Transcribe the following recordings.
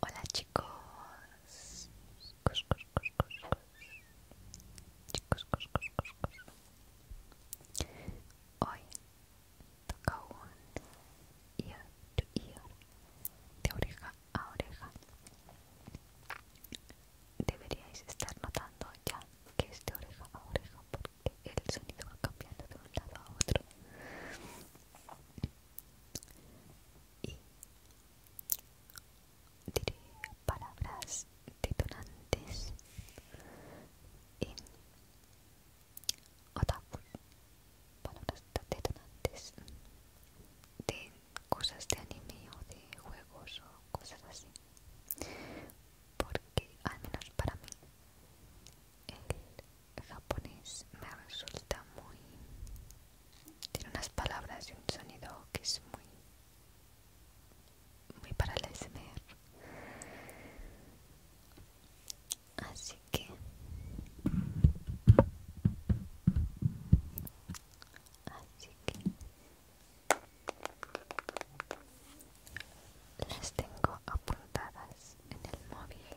Hola chicos. Chicos, Hoy toca un ear to ear, de oreja a oreja. Deberíais estar notando ya que es de oreja a oreja el sonido va cambiando de un lado a otro y diré palabras detonantes en otaku palabras detonantes de cosas de anime o de juegos o cosas así porque al menos para mí el japonés me resulta muy... Tiene unas palabras y un sonido que es muy... Muy para el Así que... Así que las tengo apuntadas en el móvil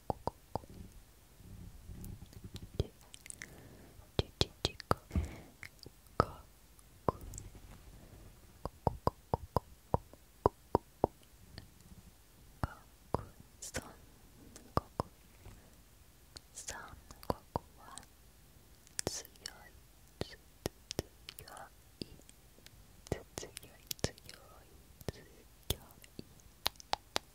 ここここででででここここここここここここさんここさんここは強い強い強い強い強い強い強い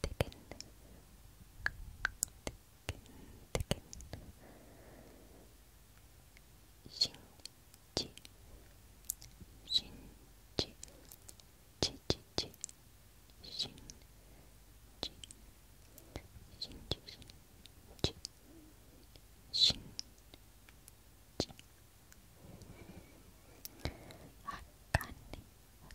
되겠네. 되겠네. 되겠네. 신지. 신지. 지지지. 신지. 신지. 신지. 신지. 아까네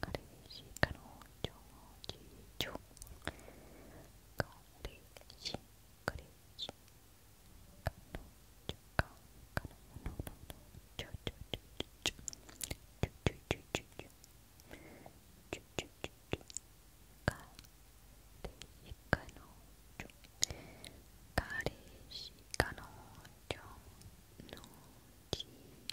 彼氏彼女次女彼氏彼氏彼女か彼女のちょちょちょちょちょちょちょちょちょちょちょちょ彼氏彼女彼氏彼女の次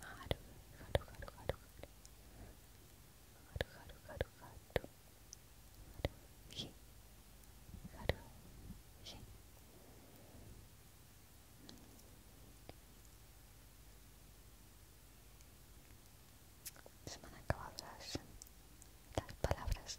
Haru, haru, Se me las palabras.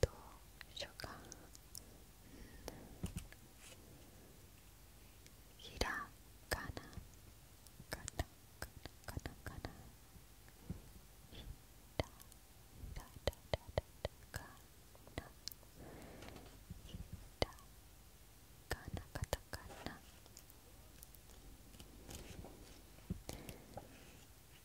どうしようか、うん、ひらがなかなかなかなひらひらだだだだかなひらがなかたかな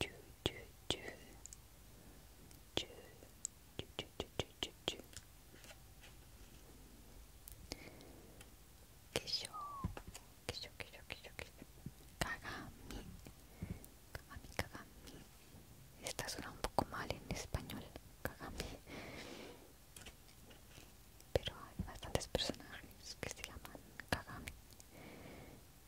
chu chu chu chu chu chu chu chu chu que yo que yo kagami kagami kagami esta suena un poco mal en español kagami pero hay bastantes personajes que se llaman kagami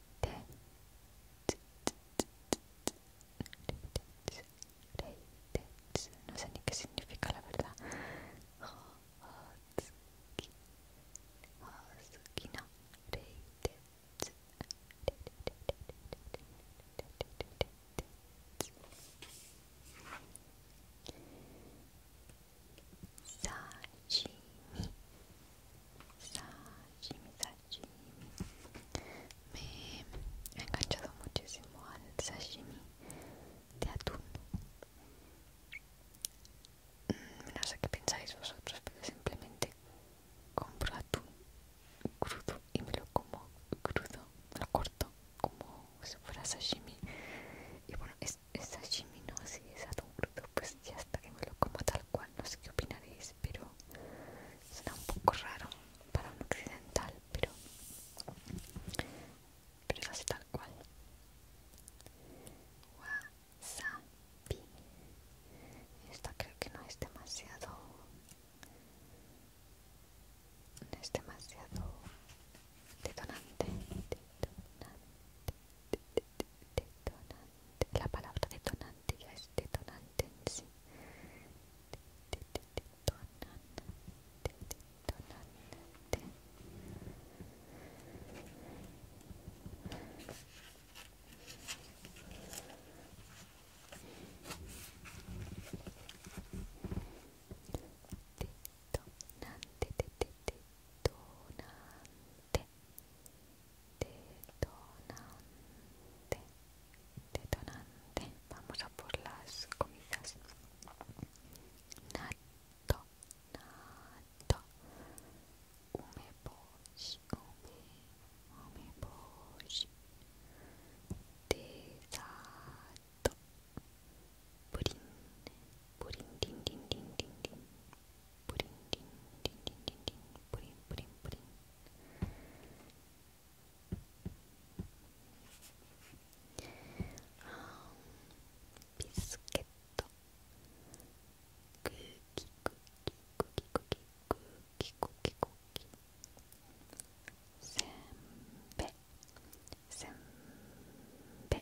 no sé ni qué significa la verdad sashimi sashimi sashimi me he enganchado muchísimo al sashimi de atún mm, no sé qué pensáis vosotros pero simplemente compro atún crudo y me lo como crudo lo corto como si fuera sashimi y bueno esa es sashimi, no es pues ya está que me lo como tal cual, no sé qué opinaréis, pero Suena un poco raro para un occidental, pero, pero es así tal cual. Wasabi. Esta creo que no es demasiado... No es demasiado detonante. detonante detonante, la palabra detonante ya es detonante en sí. Detonante, detonante. Detonante, detonante detonante detonante vamos a por las comidas nato nato umeboshi プリンリンリンリンリンリンプリンプリンプリンあビスケットクッキクッキクッキクッキクッキクッキクッキせんべせんべ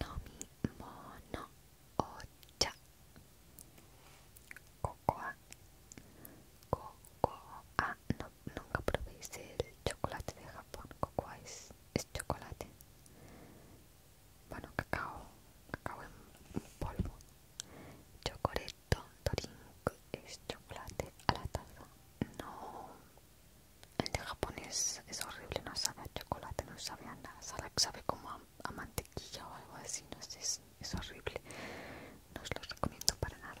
Nomi mono ocha Cocoa Cocoa ah, Nunca probéis el chocolate de Japón Cocoa es, chocolate Bueno, cacao Cacao en polvo chocolate drink, es chocolate a la taza. No, el de japonés es horrible, no sabe a chocolate, no sabe a nada, sabe como a, mantequilla o algo así, no sé, es, horrible. No os lo recomiendo para nada.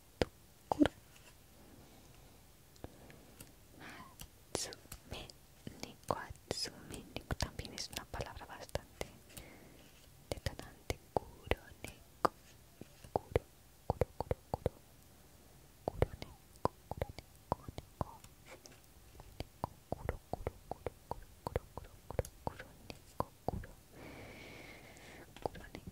Tokoro también es una palabra bastante detonante Kuro Neko Kuro, Kuro, Kuro, Kuro Neko, Kuro Neko,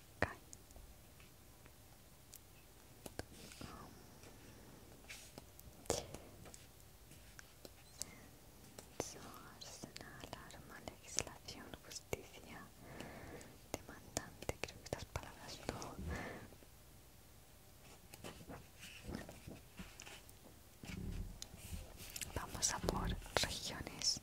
Hawkeye. arsenal, arma, legislación, justicia, demandante, creo que estas palabras no. Vamos a por regiones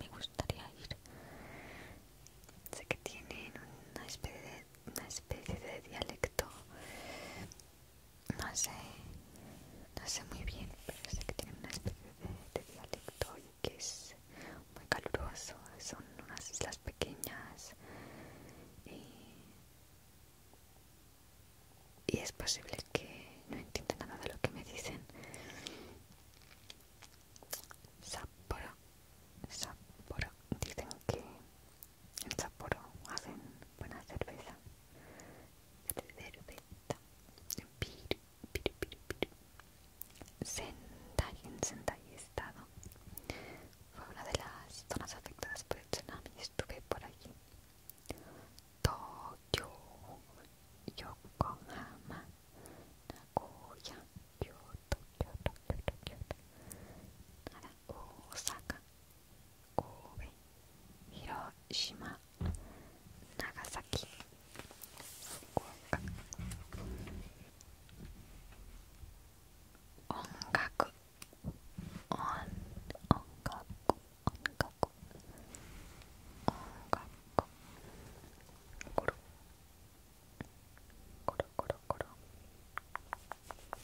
me gustaría ir sé que tienen una especie de una especie de dialecto no sé no sé muy bien pero sé que tienen una especie de, dialecto y que es muy caluroso son unas islas pequeñas y, y es posible que no entiendan nada de lo que me dicen Sapporo, Sapporo, dicen que en Sapporo hacen buena cerveza. Cerveza, piri, piri, piri, Sendai, en Sendai estado. Fue una de las zonas afectadas por el tsunami, estuve por allí. Toyo, Yokohama, 名古屋京都京都京都奈良大阪神戸広島長崎福岡音楽音音楽音楽音楽ゴロ Coro, coro, coro. Coro, coro,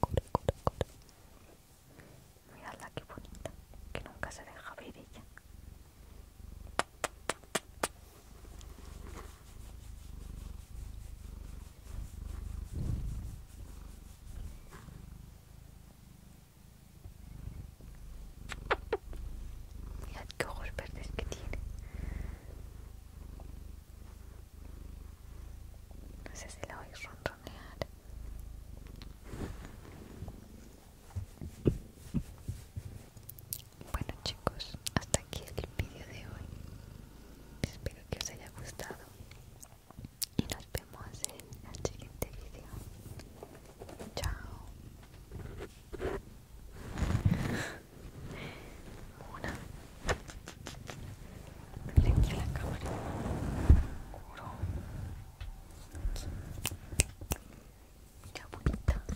coro. Miradla qué bonita, que nunca se deja ver ella. Mirad qué ojos verdes que tiene. No sé si la oís ronronear. Bueno chicos, hasta aquí el vídeo de hoy. Espero que os haya gustado. Y nos vemos en el siguiente vídeo. Chao una miren aquí en la cámara Curo. mira bonita